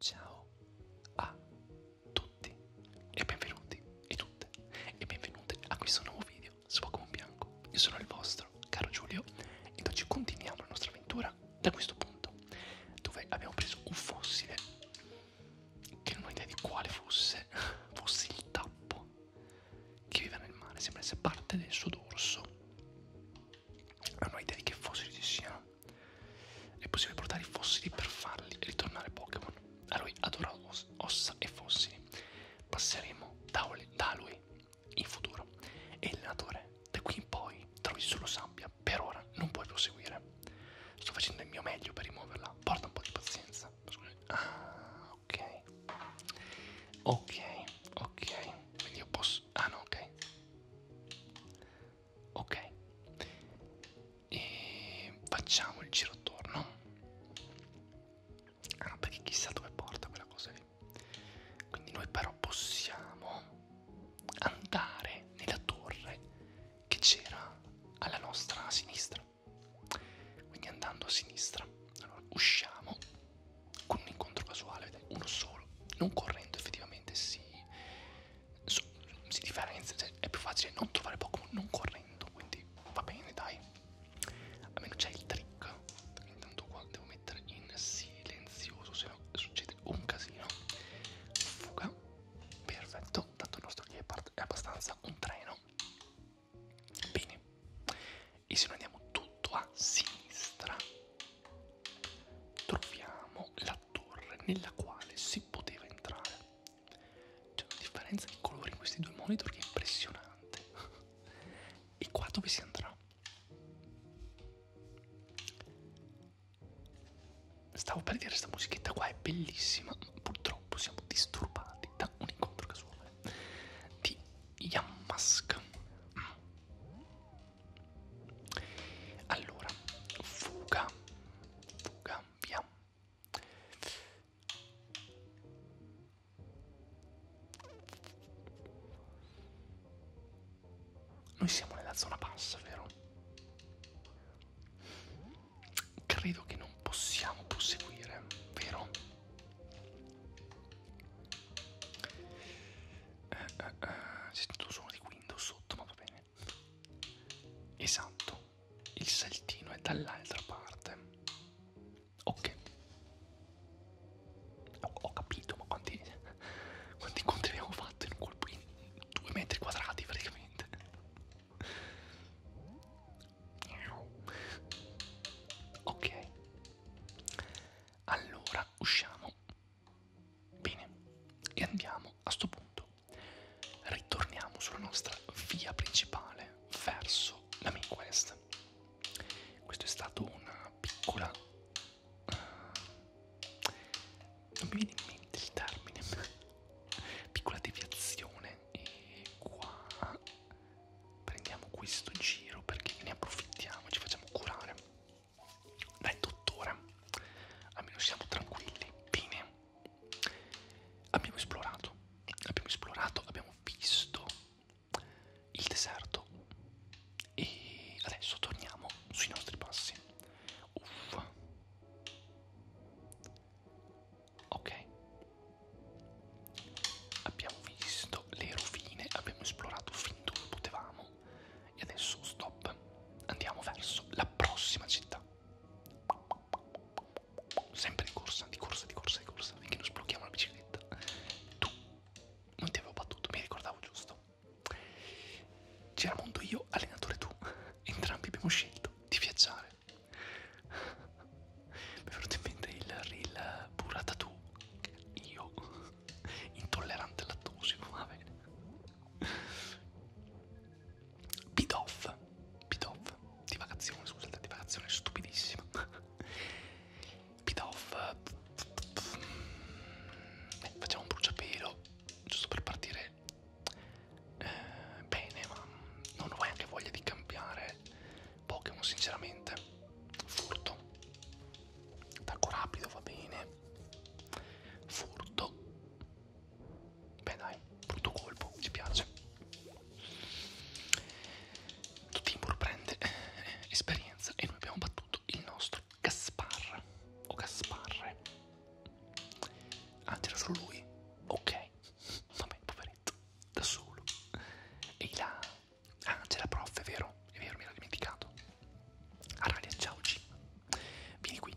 Ciao a tutti e benvenuti e tutte e benvenute a questo nuovo video su Pokémon Bianco. Io sono il vostro caro Giulio ed oggi continuiamo la nostra avventura da questo punto dove abbiamo preso un fossile che non ho idea di quale fosse, fosse il tappo che vive nel mare, sembra essere parte del suo dorso non ho idea di che fossili ci siano. È possibile portare i fossili per farli ritornare Pokémon. A lui adora os ossa e fossili. Passeremo da, da lui in futuro. E il allenatore, da qui in poi trovi solo sabbia. Per ora non puoi proseguire. Sto facendo il mio meglio per rimuoverla. Porta un po' di pazienza. Ah, ok. Ok, ok. Quindi io posso... Ah no, ok ok e facciamo il giro attorno ah no perché chissà dove porta quella cosa lì quindi noi però possiamo andare nella torre che c'era alla nostra sinistra quindi andando a sinistra allora usciamo con un incontro casuale uno solo non correndo effettivamente si so, si differenzia, cioè è più facile non trovare Pokémon non correndo, quindi va bene dai. Almeno c'è il trick. Intanto qua devo mettere in silenzioso, se no succede un casino. Fuga, perfetto, tanto il nostro Gepard è abbastanza un treno. Bene, e se noi andiamo tutto a sinistra troviamo la torre nella quale si poteva entrare. C'è una differenza di colore in questi due monitor che è impressionante. e qua dove si andrà? Stavo per dire, sta musichetta qua è bellissima, ma purtroppo siamo disturbati da un incontro casuale di Yamask. Allora, fuga, fuga, via. Noi siamo nella zona bassa, vero? Credo che non possiamo proseguire, vero? Eh, eh, eh, c'è tutto suono di Windows sotto, ma va bene esatto il saltino è dall'altra parte ok ho, ho capito ma quanti, quanti incontri abbiamo fatto in un colpo in due metri quadrati praticamente ok allora usciamo Bene, e andiamo a sto punto. Ritorniamo sulla nostra via principale verso la main quest. Questo è stato una piccola... Uh, non mi viene in mente il termine. piccola deviazione. E qua prendiamo questo giro perché ne approfittiamo, ci facciamo curare dai tuttora almeno siamo tranquilli bene abbiamo esplorato abbiamo esplorato abbiamo visto il deserto e adesso torniamo sui nostri passi uff ok abbiamo visto le rovine abbiamo esplorato fin dove potevamo e adesso stop. Andiamo verso la prossima città. Sempre di corsa, di corsa, di corsa, di corsa, finché non sblocchiamo la bicicletta. Tu non ti avevo battuto, mi ricordavo giusto. Geramondo io, allenatore tu. Entrambi abbiamo scelto di viaggiare. Mi è venuto in mente il reel burrata tu. Io, intollerante al lattosio, va bene. Bidoff, Bidoff, divagazione, scusate, divagazione stupidissima. Bidoff, eh, facciamo un bruciapelo, giusto per partire eh, bene, ma non ho anche voglia di cambiare Pokémon sinceramente. Furto, attacco rapido va bene furto beh dai brutto colpo ci piace Timur prende eh, esperienza e noi abbiamo battuto il nostro Gaspar o Gasparre ah c'era solo lui ok vabbè poveretto da solo e là ah c'era prof è vero è vero mi ero dimenticato Aralia, ciao G. Vieni qui.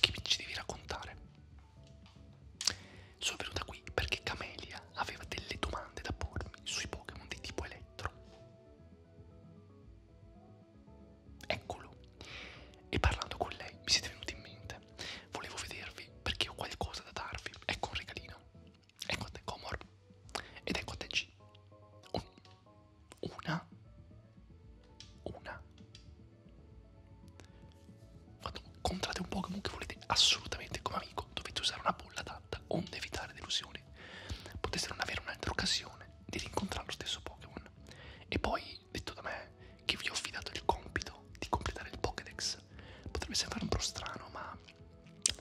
Che mi ci devi raccontare? Sono venuta qui perché Camelia aveva delle domande da pormi sui Pokémon di tipo elettro. Eccolo. E parlando con lei mi siete venuti in mente. Volevo vedervi perché ho qualcosa da darvi. Ecco un regalino. Ecco a te Comor. Ed ecco a te G. Un, una una Fatto, comprate un Pokémon che volete assolutamente come amico dovete usare una bolla adatta onde evitare delusioni potete non avere un'altra occasione di rincontrare lo stesso Pokémon e poi detto da me che vi ho affidato il compito di completare il Pokédex potrebbe sembrare un po' strano ma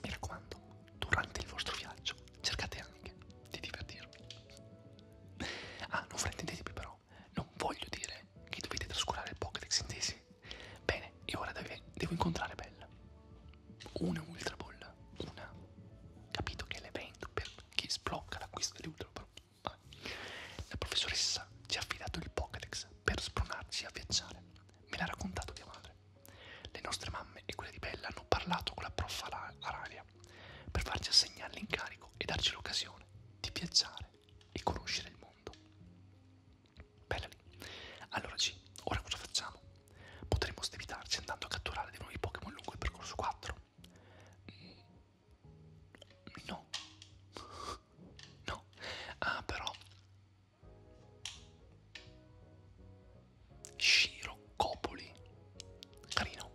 mi raccomando durante il vostro viaggio cercate anche di divertirvi. Ah, non fraintendetevi però, non voglio dire che dovete trascurare il Pokédex intesi. Bene, e ora deve, devo incontrare Bella. Una Ultra Ball, una. Capito che è l'evento per chi sblocca l'acquisto delle Ultra Ball. Ah. La professoressa ci ha affidato il Pokédex per spronarci a viaggiare. Me l'ha raccontato mia madre. Le nostre mamme e quelle di Bella hanno parlato con la prof Araria per farci assegnare l'incarico e darci l'occasione di viaggiare e conoscere il mondo. Bella lì. Allora G, ora cosa facciamo? Potremmo stevitarci andando a catturare dei nuovi Pokémon lungo il percorso 4? Mm, no. No. Ah, però... Shiro Copoli. Carino.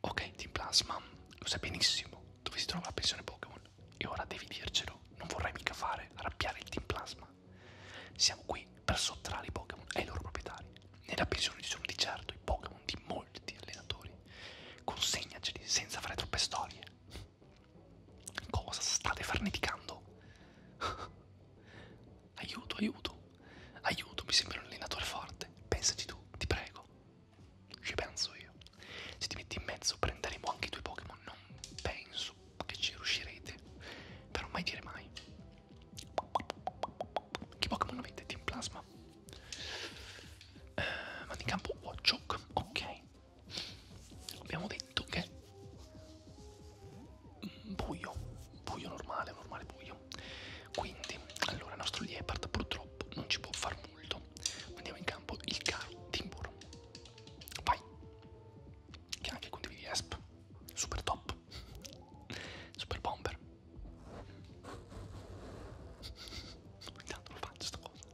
Ok, Team Plasma, lo sai benissimo dove si trova la pensione Pokémon. E ora devi dircelo, non vorrei mica fare arrabbiare il Team Plasma. Siamo qui per sottrarre i Pokémon ai loro proprietari. Nella pensione ci sono di certo i Pokémon di molti allenatori. Consegnaceli senza fare troppe storie. Cosa state farneticando? Aiuto, aiuto. Aiuto, mi sembra un allenatore forte. Pensaci tu, ti prego. Ci penso io. Se ti metti in mezzo prenderemo anche i tuoi Pokémon. Non penso che ci riuscirete. Però mai dire mai. Che Pokémon avete? Team Plasma. Uh, eh, mandi in campo Watchok. Oh, ok. Abbiamo detto che buio, buio normale, normale buio. Quindi, allora, il nostro Liepard purtroppo non ci può far molto. Mandiamo in campo il caro Timbur. Vai, che anche condividi ESP. Super top, super bomber. Intanto lo faccio sta cosa.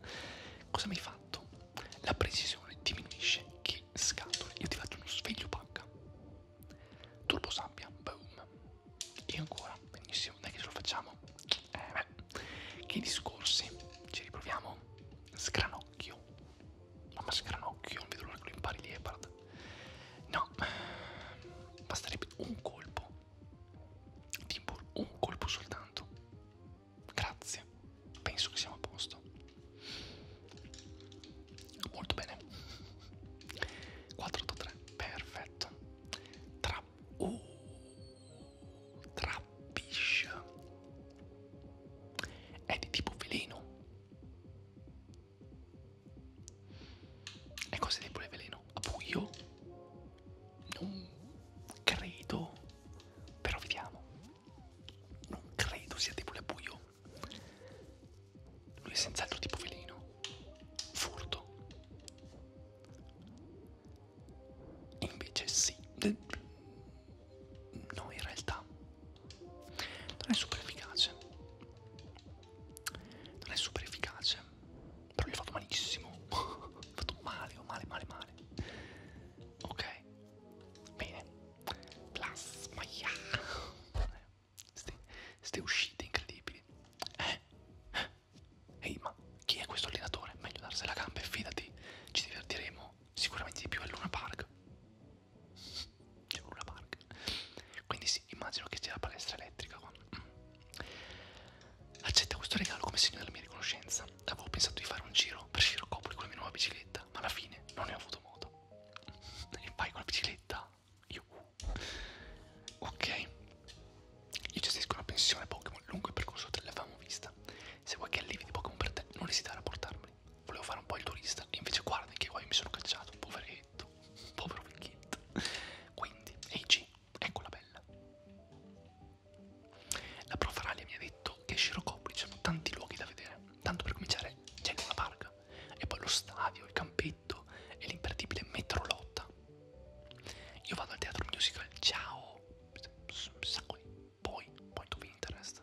Cosa mi hai fatto? La precisione diminuisce che di scatole. Io ti faccio uno sveglio pacca. Turbo sabbia, boom. E ancora, benissimo, dai che ce lo facciamo. Eh beh, che discorsi. Ci riproviamo. Scranocchio. Mamma scranocchio, non vedo l'ora che lo impari Leopard. No, basterebbe un colpo. Timbur, un colpo soltanto. Grazie, penso che siamo a posto. Molto bene. 483, perfetto. Tra... Uh, trappish. È di tipo veleno. E cosa di pure veleno? A buio? Non credo. Però vediamo credo sia tipo le buio. Lui è senz'altro tipo veleno. Furto. Invece sì. No, in realtà non è super efficace. Non è super efficace. Però gli ho fatto malissimo. ho fatto male, ho male, male, male. Ok. Bene. Plasma, yeah. Ste, ste uscite incredibili. Eh? eh. Ehi, ma chi è questo allenatore? Meglio darsi la gamba e fidati, ci divertiremo sicuramente di più a Luna Park. C'è Luna Park. Quindi sì, immagino che sia la palestra elettrica con... Accetta questo regalo come segno della mia riconoscenza. Avevo pensato di fare un giro per Scirocopoli con la mia nuova bicicletta, ma alla fine non ne ho avuto modo e vai con la bicicletta. Io, ok, io gestisco una pensione Pokémon lungo il percorso te l'avevamo vista. Se vuoi che allevi di Pokémon per te, non esitare a portarmeli. Volevo fare un po' il turista, e invece guardi che qua io mi sono cacciato, poveretto, povero vecchietto. Quindi, Eiji, eccola bella. La prof Ralia mi ha detto che Scirocopoli c'erano tanti luoghi da vedere. Tanto per cominciare c'è Luna Park, e poi lo stadio, il campetto e l'imperdibile metrolotta. Io vado al teatro musical, ciao! Sacco di poi, point of interest.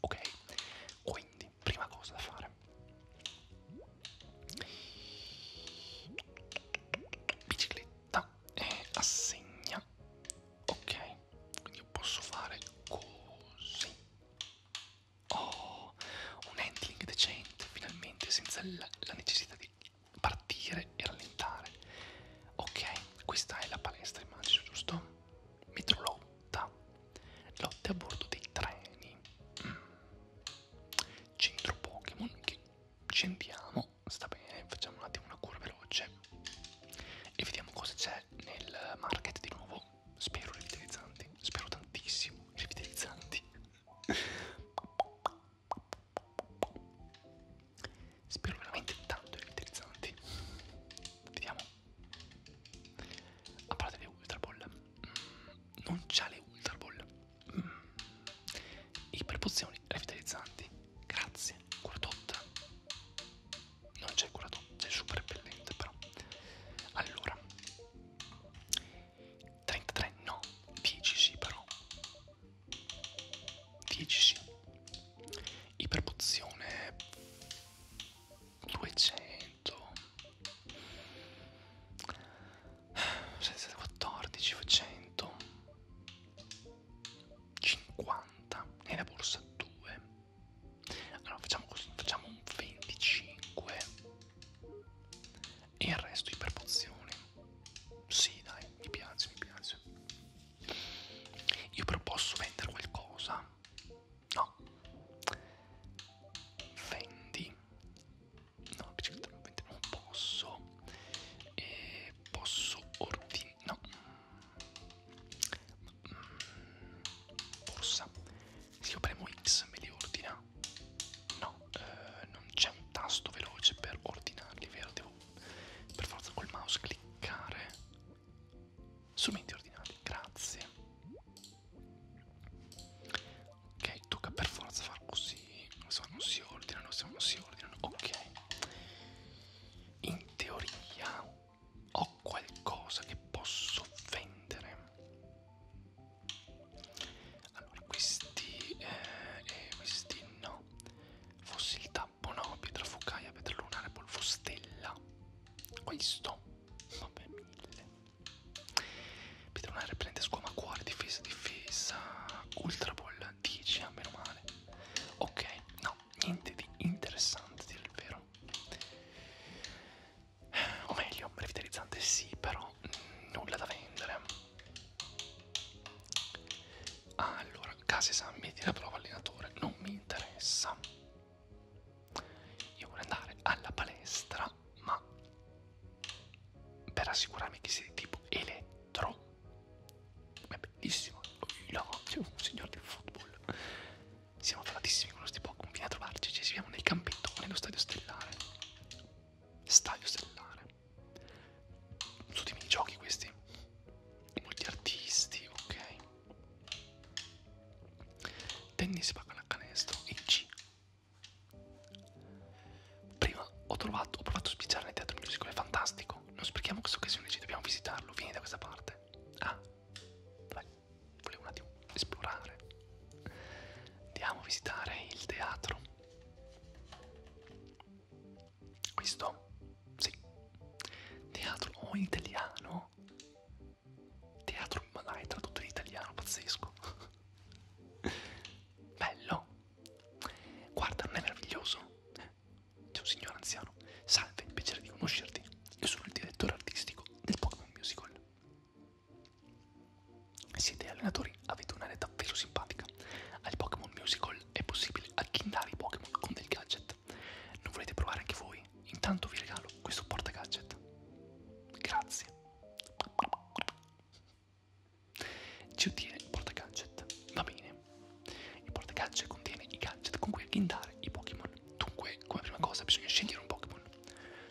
Ok, quindi, prima cosa da fare. Bicicletta e assegna. Ok, quindi io posso fare così. Oh, un handling decente, finalmente, senza la, la necessità di partire e rallentare. Ok, questa è la palestra, immagino, giusto? Metrolotta. Lotte a bordo dei treni. Mm. Centro Pokémon, che scendiamo, sta bene, facciamo un attimo una cura veloce e vediamo cosa c'è nel market di nuovo spero revitalizzanti, spero tantissimo revitalizzanti. Spero veramente tanto revitalizzanti. Vediamo. A parte le Ultra Ball, mm, non c'ha le Ultra Ball. Mm. Iperpozioni revitalizzanti. Grazie, curadotta non c'è il curato, c'è il super repellente però. Allora, 33 no, 10 sì però. 10 sì. Iperpozione 200. 14, 100. 50 nella borsa 2 allora facciamo così, facciamo un 25 e il resto iperpozioni. Sì, dai, mi piace, mi piace. Io però posso vendere qualcosa? No. Vendi? No, bicicletta non posso. E posso ordinare... No borsa se io premo X me li ordina no eh, non c'è un tasto veloce per ordinarli vero devo per forza col mouse cliccare strumenti ordinati grazie ok tocca per forza far così insomma non si ordinano se non si ordinano ok in teoria ho qualcosa che posso vendere allora questi eh, e eh, questi no fossil tappo no pietra focaia pietra lunare polvo stella questo vabbè mille pietra lunare prende squama cuore difesa difesa ultra ball 10 a meno male ok no niente di interessante dire il vero o meglio revitalizzante sì però mh, nulla da vendere allora case San metti la prova allenatore non mi interessa io voglio andare alla palestra ma per assicurarmi che sia di tipo elettro è bellissimo, io, un signore del football siamo felatissimi con questi Pokémon. Vieni a trovarci, ci siamo nel campetto o nello stadio stellare. Stadio stellare. Tutti i minigiochi questi. Molti artisti, ok. Tennis pallacanestro e C. Prima ho trovato, ho provato a spicciare nel teatro musical, è fantastico. Non sprechiamo questa occasione, ci dobbiamo visitarlo. Vieni da questa parte. Ah, vai volevo un attimo esplorare. Andiamo a visitare il teatro. Questo? Sì. Teatro o in italiano? Teatro, ma dai, tradotto in italiano, pazzesco. Bello. Guarda, non è meraviglioso? C'è un signore anziano. Salve, piacere di conoscerti. Io sono il direttore artistico del Pokémon Musical. Siete allenatori, avete un'area davvero simpatica. Al Pokémon Musical è possibile acchindare i Pokémon con del gadget. Non volete provare anche voi? Intanto vi regalo questo porta gadget. Grazie. Ci ottiene il porta gadget. Va bene. Il porta gadget contiene i gadget con cui acchindare i Pokémon Pokémon. Dunque, come prima cosa bisogna scegliere un Pokémon.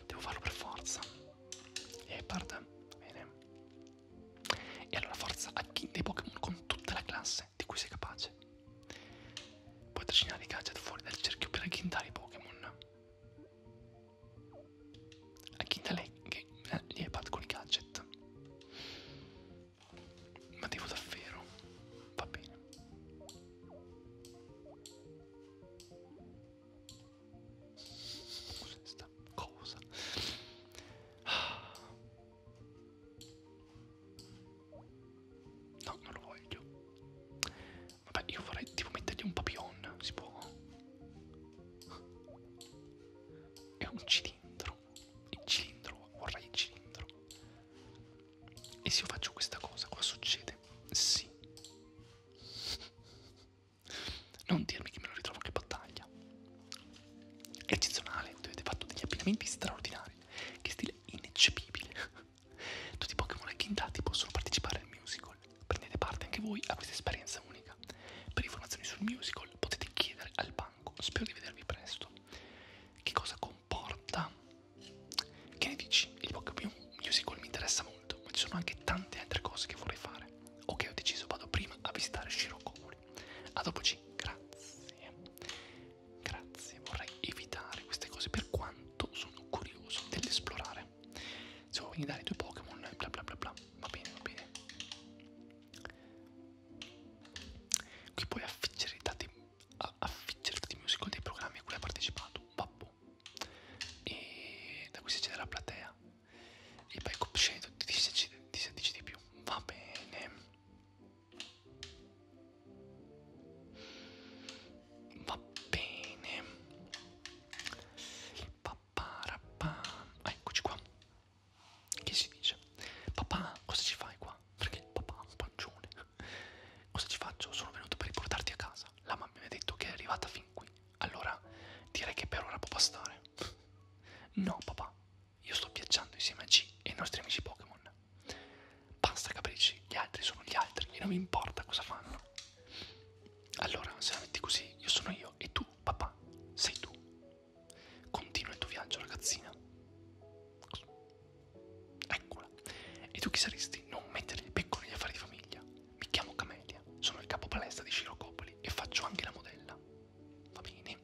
Devo farlo per forza. E parte. Bene. E allora forza acchi dei Pokémon con tutta la classe di cui sei capace. Puoi trascinare i gadget fuori dal cerchio per agghindare i Pokémon. Agghinda lei che gli eh, iPad con i gadget. Ma devo davvero? Va bene. Cos'è sta cosa? Ah. No, non lo voglio. Vabbè, io vorrei tipo mettergli un papillon, si può? È un cilindro. Il cilindro, vorrei il cilindro. E se io faccio questa cosa qua succede? Sì. Non dirmi che me lo ritrovo che battaglia. È eccezionale, avete fatto degli abbinamenti straordinari. Che stile ineccepibile. Tutti i Pokémon agghindati possono partecipare al musical. Prendete parte anche voi a questa esperienza unica. Per informazioni sul musical potete chiedere al banco. Spero di vedervi presto. Che cosa comporta che ne dici? Il Pokémon Musical mi interessa molto, ma ci sono anche tante altre cose che vorrei fare. Ok, ho deciso, vado prima a visitare Shirokuri. A dopoci, grazie. Grazie, vorrei evitare queste cose per quanto sono curioso dell'esplorare. Se vuoi venire dare i tuoi Pokémon, bla bla bla bla, va bene, va bene. Qui puoi affiggere i dati affiggerti di musical dei programmi a cui hai partecipato, babbo. E da qui si accede alla platea. E poi copsceto ti, ti si dice di più. Va bene. Va bene. Paparapam. Ah, eccoci qua. Che si dice? Papà, cosa ci fai qua? Perché papà è un pancione. Cosa ci faccio? Sono venuto per riportarti a casa. La mamma mi ha detto che è arrivata fin qui. Allora direi che per ora può bastare. no, papà, io sto viaggiando insieme a G e ai nostri amici Pokémon. Basta capisci, gli altri sono gli altri e non mi importa cosa fanno. Allora, se la metti così, io sono io e tu, papà, sei tu. Continua il tuo viaggio, ragazzina. Eccola. E tu chi saresti? Non mettere il becco negli affari di famiglia. Mi chiamo Camelia, sono il capo palestra di Scirocopoli e faccio anche la modella. Va bene?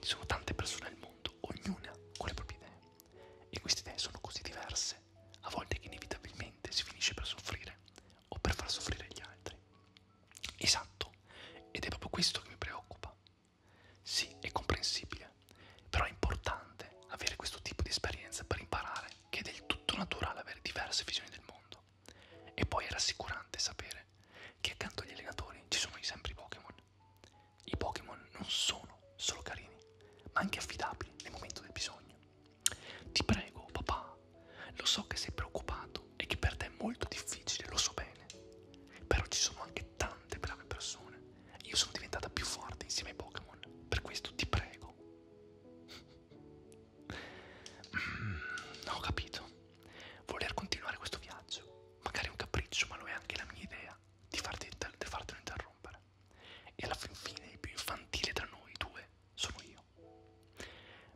Ci sono tante persone al mondo, ognuna con le proprie idee. E queste idee sono così diverse, a volte che inevitabilmente si finisce per soffrire o per far soffrire gli altri. Esatto, ed è proprio questo che mi preoccupa. Sì, è comprensibile, però è importante avere questo tipo di esperienza per imparare che è del tutto naturale avere diverse visioni del mondo. E poi è rassicurante sapere che accanto agli allenatori ci sono sempre i Pokémon. I Pokémon non sono solo carini, ma anche affidabili nel momento del bisogno. Ti prego, papà, lo so che sei preoccupato e che per te è molto difficile, lo so bene, però ci sono anche tanti tante brave persone. Io sono diventata più forte insieme ai Pokémon. Per questo ti prego. mm, ho capito. Voler continuare questo viaggio. Magari è un capriccio, ma lo è anche la mia idea di, farti, di fartelo interrompere. E alla fin fine il più infantile tra noi due sono io.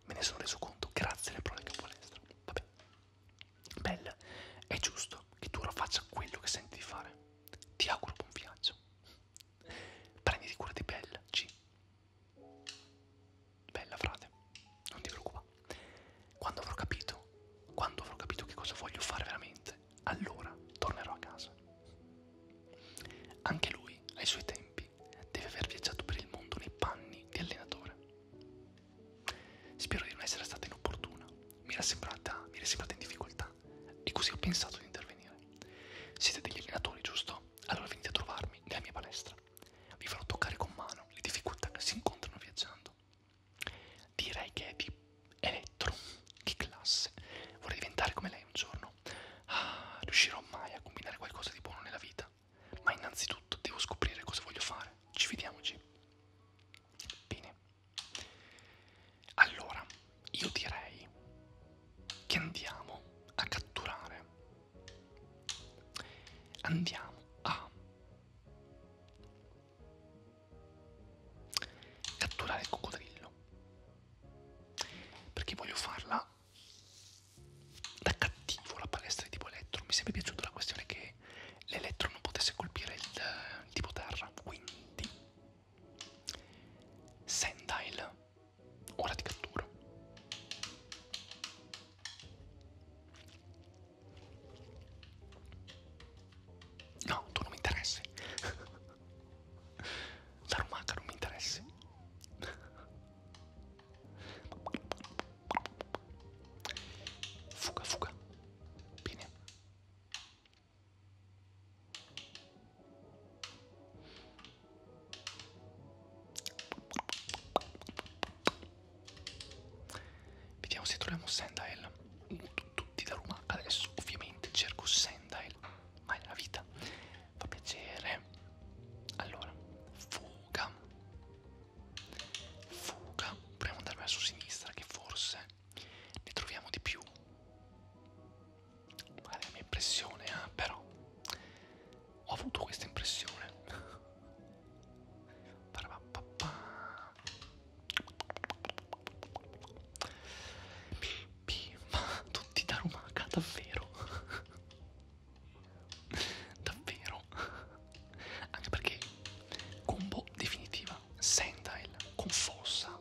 Me ne sono reso conto grazie alle parole che ho palestra. Vabbè, Bella, è giusto che tu ora faccia quello che senti di fare. Ti auguro buon viaggio. Prenditi cura di Bella, G. Bella, frate, non ti preoccupare. Quando avrò capito, quando avrò capito che cosa voglio fare veramente, allora tornerò a casa. Anche lui, ai suoi tempi, deve aver viaggiato per il mondo nei panni di allenatore. Spero di non essere stata inopportuna, mi era sembrata, mi era sembrata in difficoltà e così ho pensato di intervenire. Siete degli allenatori, giusto? Allora venite a trovarmi nella mia palestra. Vi farò toccare con mano le difficoltà che si incontrano viaggiando. Direi che è di elettro. Che classe. Vorrei diventare come lei un giorno. Ah, riuscirò mai a combinare qualcosa di buono nella vita? Ma innanzitutto devo scoprire cosa voglio fare. Ci vediamo, G. Bene, allora, io direi che andiamo a catturare. Andiamo a catturare il coccodrillo. Perché voglio farla da cattivo la palestra di tipo elettro. Mi è sempre piaciuta la questione che che l'elettro non potesse colpire il, il tipo terra, quindi Sendile, ora ti catturo. No, tu non mi interessi. Darumaka non mi interessi. Fuga, fuga. Bene. Vediamo se troviamo Sendael. Tutti da lumaca adesso, ovviamente cerco Sendael. Mai nella vita. Fa piacere. Allora, fuga. Fuga. Proviamo ad andare verso sinistra che forse ne troviamo di più magari la mia impressione eh? però ho avuto questa impressione ma tutti da rumaca davvero davvero anche perché combo definitiva Sentail con fossa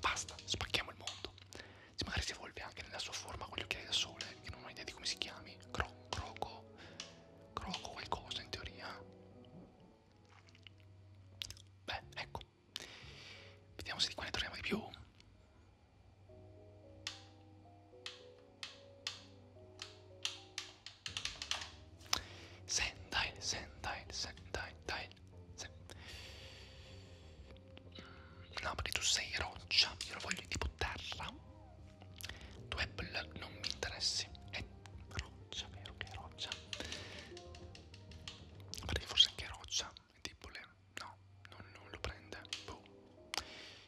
basta spacchiamo il mondo si magari si evolve anche nella sua forma con gli occhiali da sole che non ho idea di come si chiami Cro croco croco qualcosa in teoria beh ecco vediamo se di qua ne troviamo di più Sendai, Sendai, Sendai, Dai. Sen... No, perché tu sei roccia, io lo voglio tipo terra. Tu Apple non mi interessi. È roccia, vero che è roccia? Perché forse anche roccia, è tipo le... no, non, non lo prende. Boh.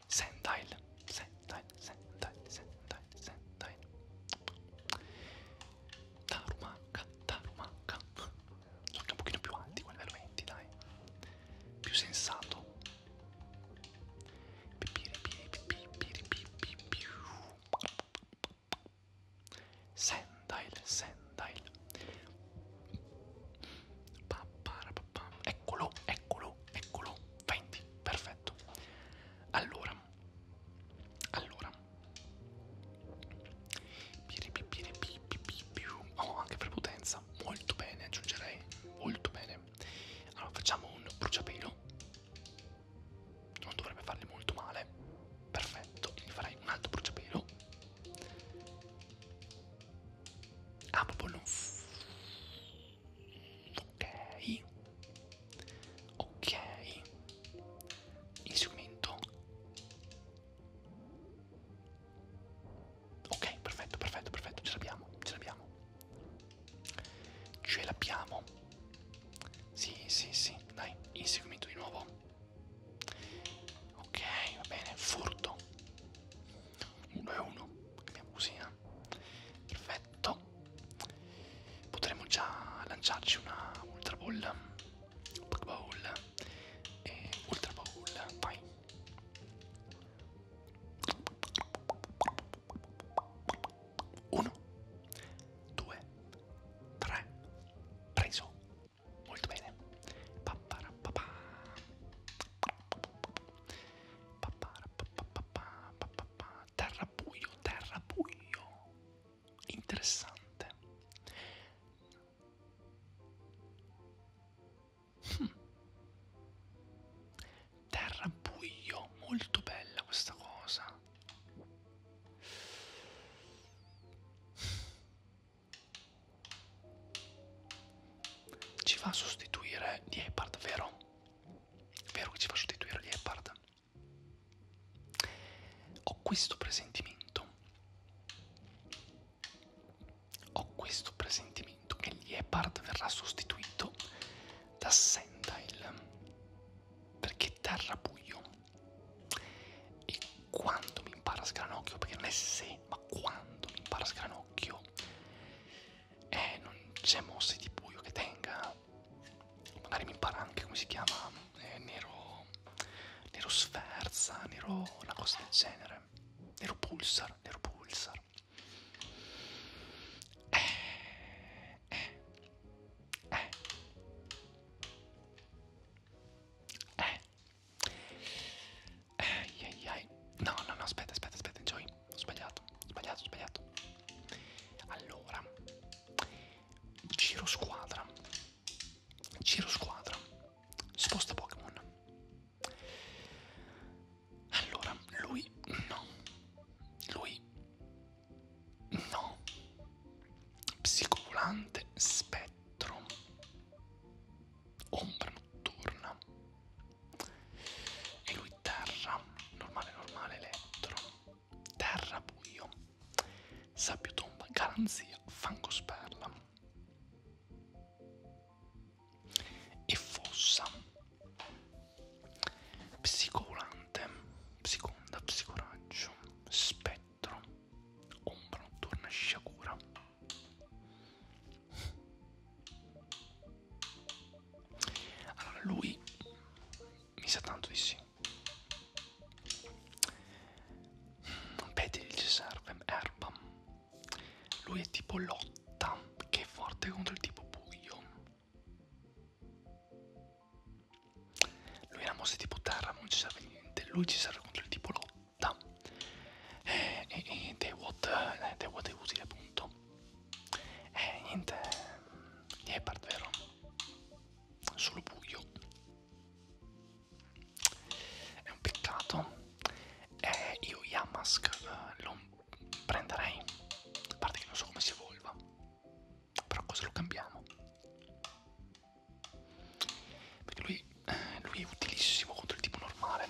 Sendile, Sendile. Sentain, Sentain, Sentain Tarumanca, Tarumanca Sono anche un pochino più alti con livello 20, dai Più sensato Sendail, Sendail Eccolo, eccolo, eccolo 20, perfetto perfetto. Allora, allora, oh, anche prepotenza, molto bene, aggiungerei, molto bene. Allora, facciamo un bruciapelo, non dovrebbe fargli molto male, perfetto, quindi farei un altro bruciapelo. Ah, proprio non... Ok ok inseguimento ok perfetto perfetto perfetto ce l'abbiamo ce l'abbiamo ce l'abbiamo sì sì sì dai inseguimento di nuovo ok va bene furto 1 e 1 cambiamo così eh? perfetto potremmo già lanciarci una Ultra Ball, Pokéball e Ultra Ball, vai! Uno, due, tre, preso, molto bene. Paparapapà. Paparapapà. Paparapapà. Terrapuio, Terrapuio, interessante. Hm. Terrapuio, molto bella questa cosa. Ci va a sostituire Liepard, vero? Vero che ci va a sostituire Liepard? Ho questo presentimento. Ho questo presentimento che Liepard verrà sostituito da Sendile. Perché terra buio. E quando mi impara sgranocchio, perché non è se, ma quando mi impara sgranocchio, eh, non c'è mosse di buio che tenga magari mi impara anche come si chiama eh, Nero Nero Sferza, Nero una cosa del genere Nero Pulsar, Nero Pulsar eh, eh, eh. Eh. Eh, yeah, yeah. No, no, no, aspetta, aspetta, aspetta, Joy sbagliato, sbagliato, sbagliato. Allora, giro squadra, giro squadra, sposta Pokémon. Allora, lui no, lui no, psicovolante spettro, ombra notturna e lui terra, normale, normale, elettro terra buio, sabbiotomba, garanzia, fango sperla e fossa psicolante, psiconda, psicoraggio, spettro, ombra notturna, sciagura allora lui mi sa tanto di sì. Pediril servem erbam. Lui è tipo lotta, che è forte contro il tipo buio. Lui ha mosse tipo terra, ma non ci serve niente. Lui ci serve contro il tipo lotta. Eh, e, e, e Dewot eh, è utile appunto. E eh, niente. Leopard, eh, vero? Solo buio. È un peccato. Eh, io Yamask eh, lo prenderei. A parte che non so come si evolva. Però cosa lo cambiamo? Perché lui, eh, lui è utilissimo contro il tipo normale.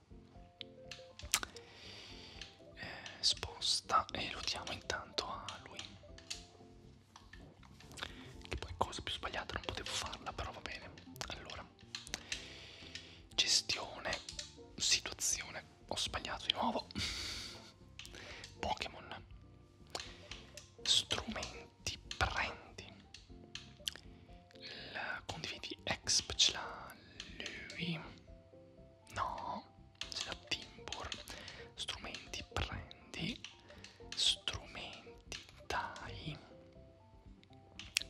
eh, sposta e lo diamo intanto a lui che poi cosa più sbagliata non potevo farla però va bene allora gestione situazione ho sbagliato di nuovo Pokémon strumenti prendi la condividi Exp ce l'ha lui no ce l'ha Timbor strumenti prendi strumenti dai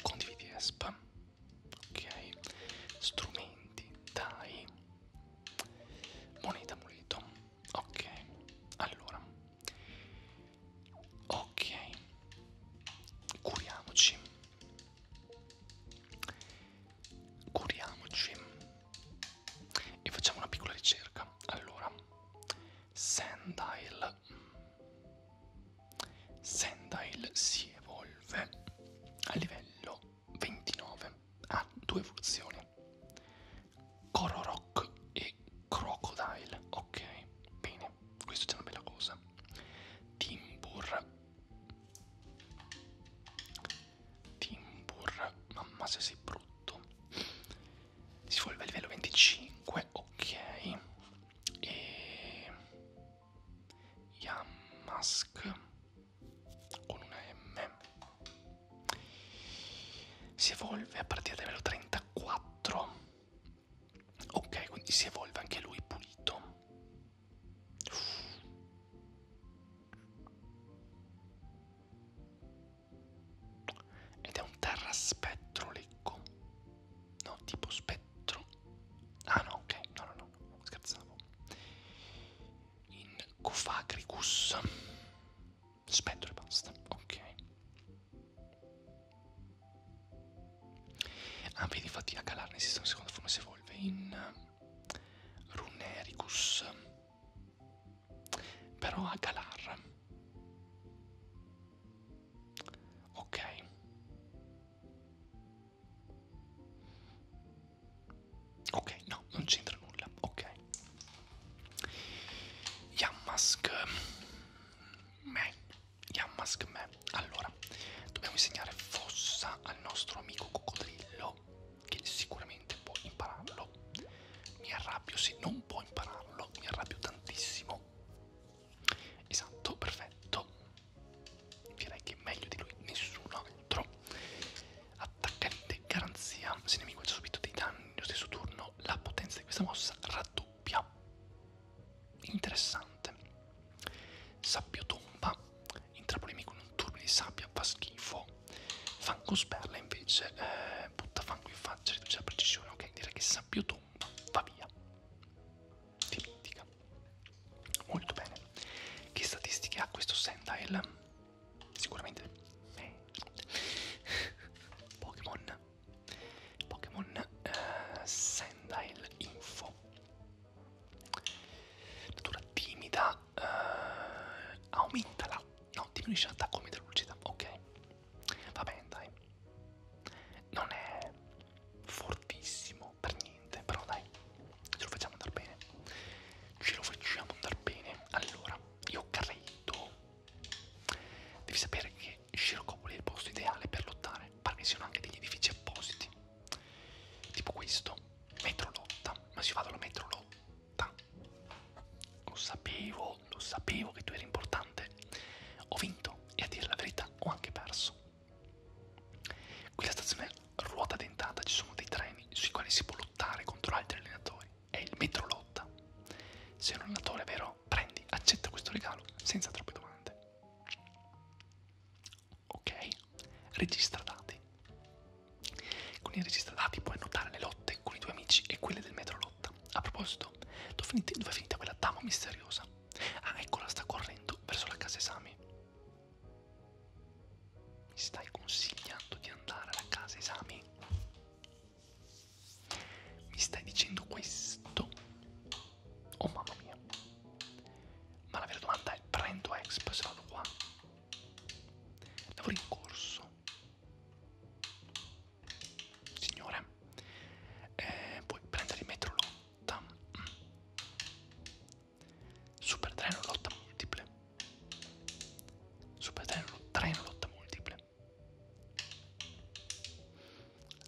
condividi Exp ok strumenti dai moneta muleto ok allora ok curiamoci Curiamoci e facciamo una piccola ricerca. Allora, Sandile. Sandile si evolve a livello 29. Ha due evoluzioni. Kororok e Crocodile. Ok, bene euro questo è una bella cosa timbur timbur mamma se sei brutto si vuole a livello 25 ok e Yamask con una M si evolve a partire da livello 34 Ok, quindi si evolve anche lui pulito. Uff. Ed è un terra spettro lecco. No, tipo spettro. Ah no, ok, no, no, no, no. scherzavo. In Cofagricus. Spettro e basta, ok. Ah, vedi, infatti, a Galarne esiste una seconda forma si evolve in eh, Runericus. Però a Galar. Ok. Ok, no, non c'entra nulla. Ok. Yammask. Beh, Yammask me. Allora, dobbiamo insegnare fossa al nostro amico coccodrillo, che sicuramente può impararlo. Mi arrabbio se non può impararlo, mi arrabbio tantissimo. Esatto, perfetto. Direi che meglio di lui nessuno altro. Attaccante garanzia. Se il nemico ha subito dei danni nello stesso turno, la potenza di questa mossa raddoppia doppia interessante sabbiotomba intrapolimi con un turno di sabbia fa schifo fango sperla invece eh, butta fango in faccia riduce la precisione ok direi che sabbiotomba va via dimentica molto bene che statistiche ha questo Sendail sicuramente eh. Pokémon Pokémon eh, Sandile Info Natura timida eh, Aumenta la... no, diminuisce l'attacco media lucida, ok Va bene dai Non è fortissimo per niente, però dai Ce lo facciamo andare bene Ce lo facciamo andare bene Allora, io credo Devi sapere che Scirocopoli è il posto ideale per lottare, parmi siano anche degli edifici appositi, tipo questo, metrolotta, ma si va dalla metrolotta, lo sapevo, lo sapevo che tu eri importante, ho vinto e a dire la verità ho anche perso. Qui la stazione ruota dentata, ci sono dei treni sui quali si può lottare contro altri allenatori, è il metrolotta. Se sei un allenatore vero, prendi, accetta questo regalo senza troppe domande ok registra dati con il registra dati puoi annotare le lotte con i tuoi amici e quelle del metro lotta a proposito dove è finita, dov finita quella dama misteriosa ah eccola sta correndo verso la casa esami mi stai consigliando di andare alla casa esami mi stai dicendo questo Oh mamma mia. Ma la vera domanda è, prendo Exp se vado qua? Lavoro in corso. Signore. Eh, puoi prendere il metro lotta. Mm. Super treno lotta multiple. Super treno, treno lotta multiple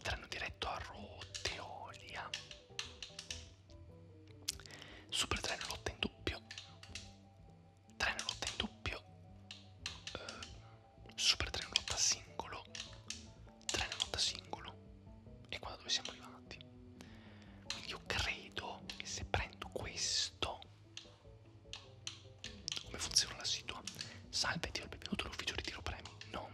treno diretto a Roteolia super treno lotta in doppio treno lotta in doppio eh, super treno lotta singolo treno lotta singolo e qua da dove siamo arrivati quindi io credo che se prendo questo come funziona la situa salve Dio il benvenuto all'ufficio ritiro premi no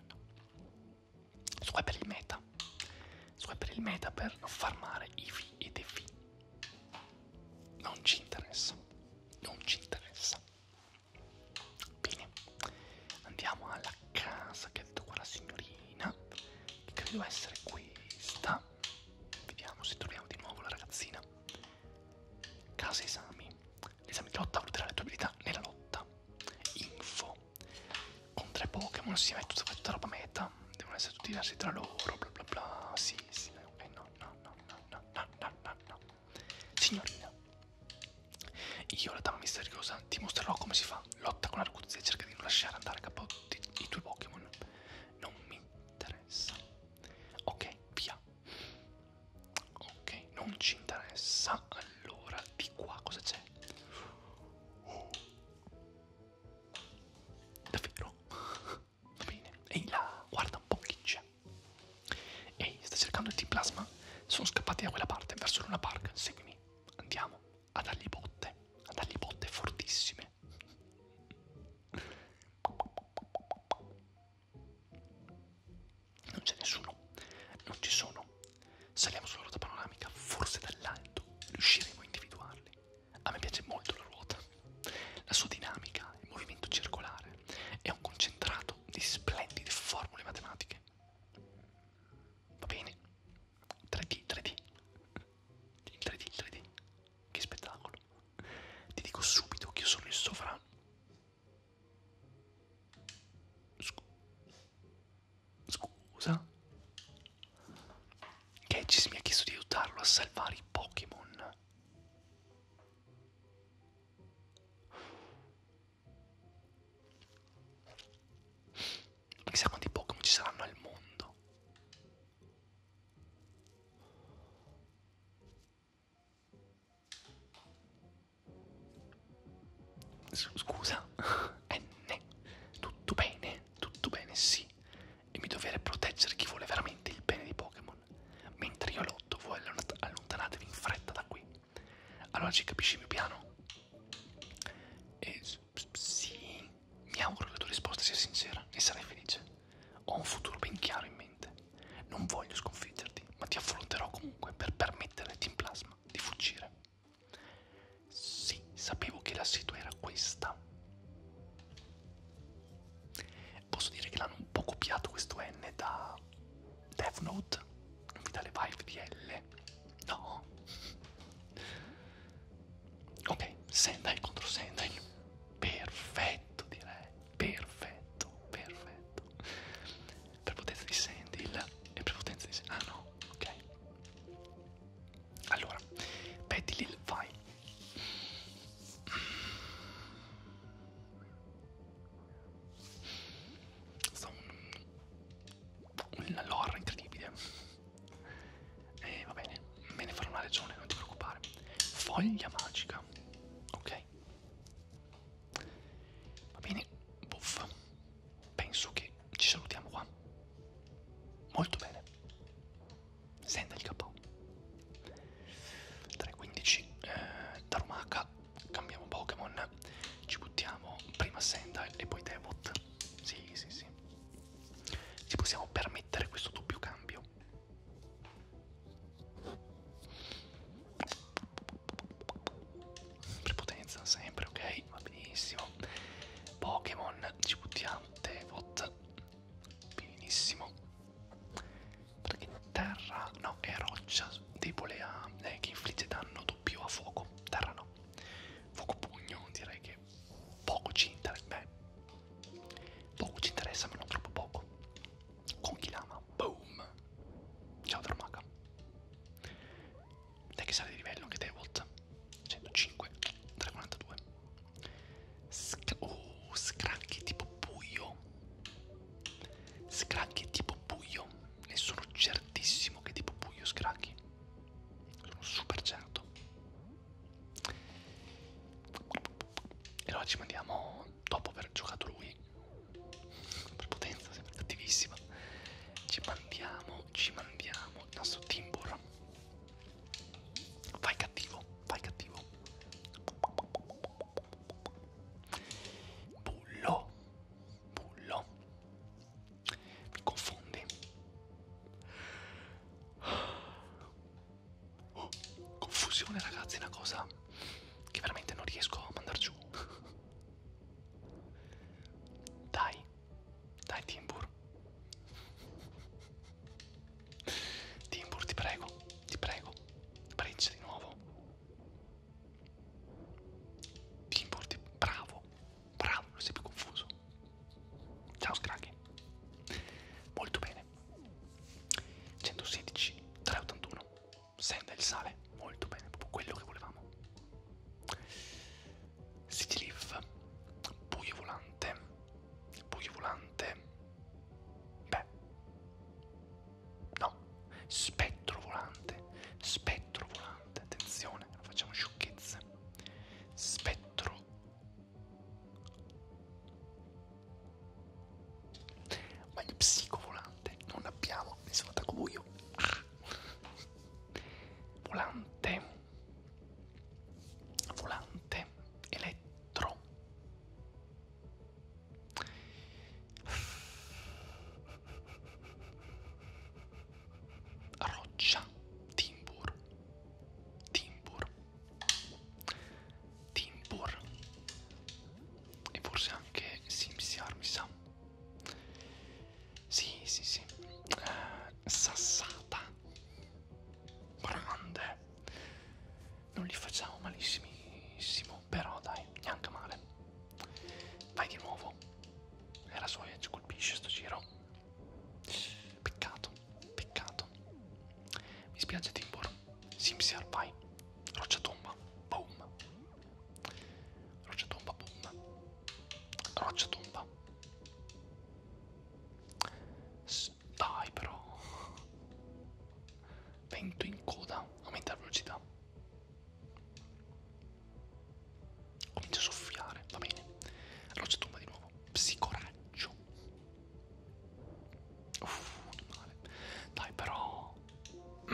no, no. Questo qua è per il meta. Questo qua è per il meta per non farmare IFI ed EFI. Non ci interessa. Non ci interessa. Bene, andiamo alla casa che ha detto qua la signorina, che credo essere questa. Vediamo se troviamo di nuovo la ragazzina. Casa esami. L'esame di lotta valuterà le tue abilità nella lotta. Info. Con tre Pokémon si mette tutta, tutta roba meta. Devono essere tutti diversi tra loro. Bla bla bla. Sì, sì. Ok, no, no, no, no, no, no, no, no, no. Signorina. Io, la dama misteriosa, ti mostrerò come si fa. Lotta con l'arguzia e cerca di non lasciare andare a capo i tuoi Pokémon. Non mi interessa. Ok, via. Ok, non ci interessa. Allora, di qua cosa c'è? Oh. Davvero? Va bene. Ehi là, guarda un po' chi c'è. Ehi, sta cercando il T-Plasma? Sono scappati da quella parte, verso l'una park. Seguimi. Andiamo a dargli botte. A dargli botte fortissime. Non c'è nessuno, non ci sono. Saliamo sulla ruota panoramica, forse dall'alto riusciremo a individuarli. A me piace molto la ruota, la sua dinamica, il movimento circolare è un concentrato di splendide formule matematiche. Va bene? 3D, 3D. Il 3D, il 3D. Che spettacolo. Ti dico subito che io sono il sovrano Scu Scusa? Kedges mi ha chiesto di aiutarlo a salvare i Pokémon. Ma chissà quanti Pokémon ci saranno al mondo. Scusa, eh, N, tutto bene, tutto bene, sì. E mi dovere proteggere chi vuole veramente il bene di Pokémon. Mentre io lotto, voi allontanatevi in fretta da qui. Allora ci capisci il mio piano? E, sì, mi auguro che la tua risposta sia sincera e sarei felice. Ho un futuro ben chiaro in mente. Non voglio sconfiggerti, ma ti affronterò comunque per permettere al Team Plasma di fuggire. Sì, sapevo che la situa era questa. Posso dire che l'hanno un po' copiato questo N da Death Note? Non mi dà le vibe di L? No. Ok, Sendai contro Sendai. Perfetto direi, perfetto, perfetto prepotenza di Sandil e prepotenza di Sandil. Ah no, ok. Allora, Betty Lil, vai. Sta un, una lore incredibile. E eh, va bene, me ne farò una regione, non ti preoccupare. Foglia magica, ok. Va bene, buffa. Penso che ci salutiamo qua. Molto bene. Senta il capo. 3.15 eh, Darumaka, cambiamo Pokémon, ci buttiamo prima Sendai e poi Devot. Sì, sì, sì. Ci possiamo permettere questo doppio cambio. Prepotenza sempre, ok? Va benissimo. Pokémon, ci buttiamo. Devot, benissimo. Perché terra, no, è roccia debole a... Eh, che infligge danno doppio a fuoco. Terra no. Fuoco pugno, direi che poco ci interessa. Beh, poco ci interessa, ma non troppo poco con Kilama, boom! Ciao Dramaga. Dai che sale di livello anche te, Volt. 105, 342. Sc oh, scranchi tipo buio. Scranchi tipo buio. Ne sono certissimo che tipo buio scranchi. Sono super certo. E allora ci mandiamo dopo aver giocato lui prepotenza, sempre cattivissima. Ci mandiamo, ci mandiamo il nostro Timbur. Vai cattivo, vai cattivo. Bullo, bullo. Mi confondi. Oh, confusione ragazzi, è una cosa che veramente non riesco a mandar giù. Dai, dai Timbur. Timbur, ti prego, ti prego, breccia di nuovo. Timbur, ti... bravo, bravo, non sei più confuso. Ciao Scraggy. Molto bene. 116, 381 senta il sale, molto bene, proprio quello che volevamo. City Leaf, buio volante, buio volante, beh, no, spettro volante, spettro volante, attenzione, non facciamo sciocchezze, spettro ma il psicovolante non abbiamo, mi sono attacco buio. Ah. Volante, volante, elettro. Roccia, timbur, timbur, Timpur e forse anche Simsiar mi sa sì sì sì eh, Sassata grande non li facciamo malissimissimo però dai neanche male vai di nuovo e la soia eh, ci colpisce sto giro peccato peccato mi spiace Timbor Simsi Alpine, Rocciatomba, boom. Rocciatomba, boom. Rocciatomba. Dai però. Vento in coda, aumenta la velocità. Comincia a soffiare, va bene. Rocciatomba di nuovo. Psicoraggio. Uff, male. Dai però mi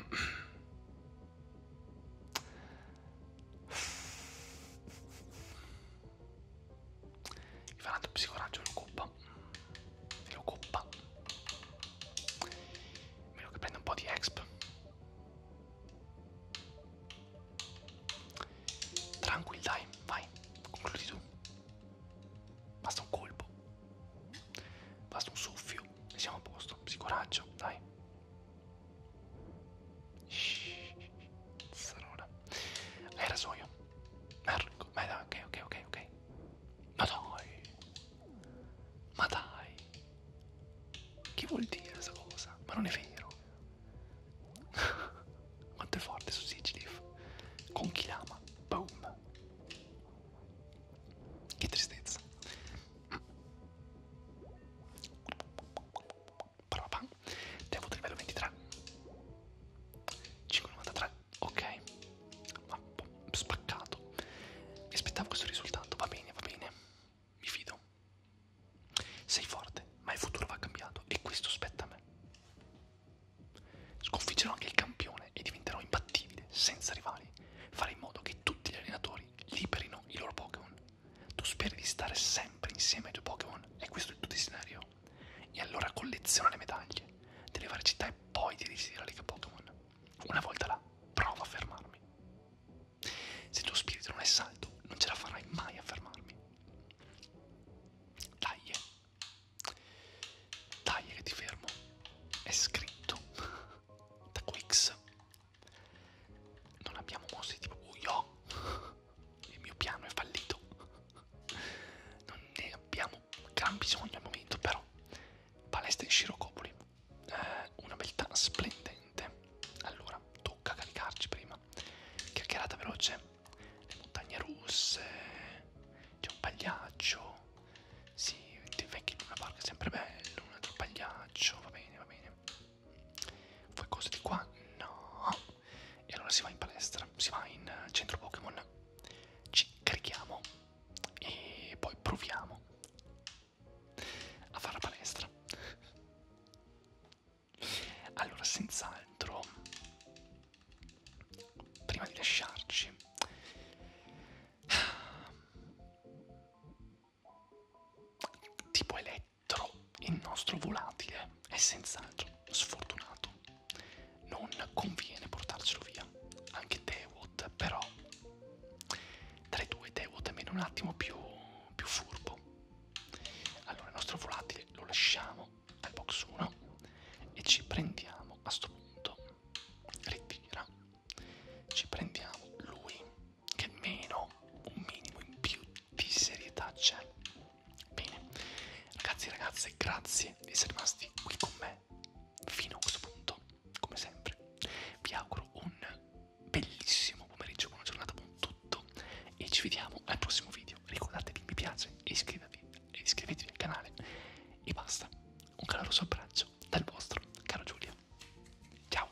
faranno psicoraggio lo coppa. Se lo coppa. Meno che prenda un po' di exp. Tranquil dai, vai, concludi tu. Basta un colpo. Basta un soffio e siamo a posto. Si coraggio, dai. Sarora. Era soio. Marco. Ma dai, ok, ok, ok, ok. Ma dai. Ma dai. Che vuol dire questa cosa? Ma non è vero. Quanto è forte su Sigilif. Con chi l'ama? Boom. Che tristezza. Prova. Ti ha avuto livello 23. 5,93. Ok. Ma spaccato. Mi aspettavo questo risultato. Va bene, va bene. Mi fido. Sei forte, ma il futuro va cambiato e questo spetta a me. Sconfiggerò anche il campione e diventerò imbattibile, senza rivali. Farò in modo che tutti gli allenatori liberino i loro Pokémon. Tu speri di stare sempre insieme ai tuoi Pokémon, e questo è il tuo desiderio. E allora colleziona le medaglie delle varie città e poi dirigiti alla Lega Pokémon. Una volta là, prova a fermarmi. Se il tuo spirito non è saldo, non ce la farai mai a fermarmi. Dai, eh. Dai, che ti fermo. È scritto da Quix. Non abbiamo mostri tipo Uyo. Il mio piano è fallito. Non ne abbiamo gran bisogno al momento, però. Palestra in Scirocopoli. Eh, una beltà splendente. Allora, tocca caricarci prima. Chiacchierata veloce. Le montagne russe. C'è un pagliaccio. Sì, ti vecchi in una parca è sempre bello, un altro pagliaccio, va bene, va bene. Poi cose di qua? No. E allora si va in palestra, si va in centro Pokémon, ci carichiamo e poi proviamo a fare la palestra. Allora, senz'altro prima di lasciarci tipo elettro il nostro volatile è senz'altro sfortunato non conviene portarcelo via anche Dewot però tra i due Dewot è meno un attimo più, più furbo allora il nostro volatile lo lasciamo al box 1 e ci prendiamo a sto punto ritira ci prendiamo lui che meno un minimo in più di serietà c'è bene ragazzi e ragazze grazie di essere rimasti qui con me fino a questo punto come sempre vi auguro un bellissimo pomeriggio buona giornata buon tutto e ci vediamo al prossimo video ricordatevi mi piace e iscrivetevi iscrivetevi al canale e basta un caloroso abbraccio dal vostro caro Giulio. Ciao.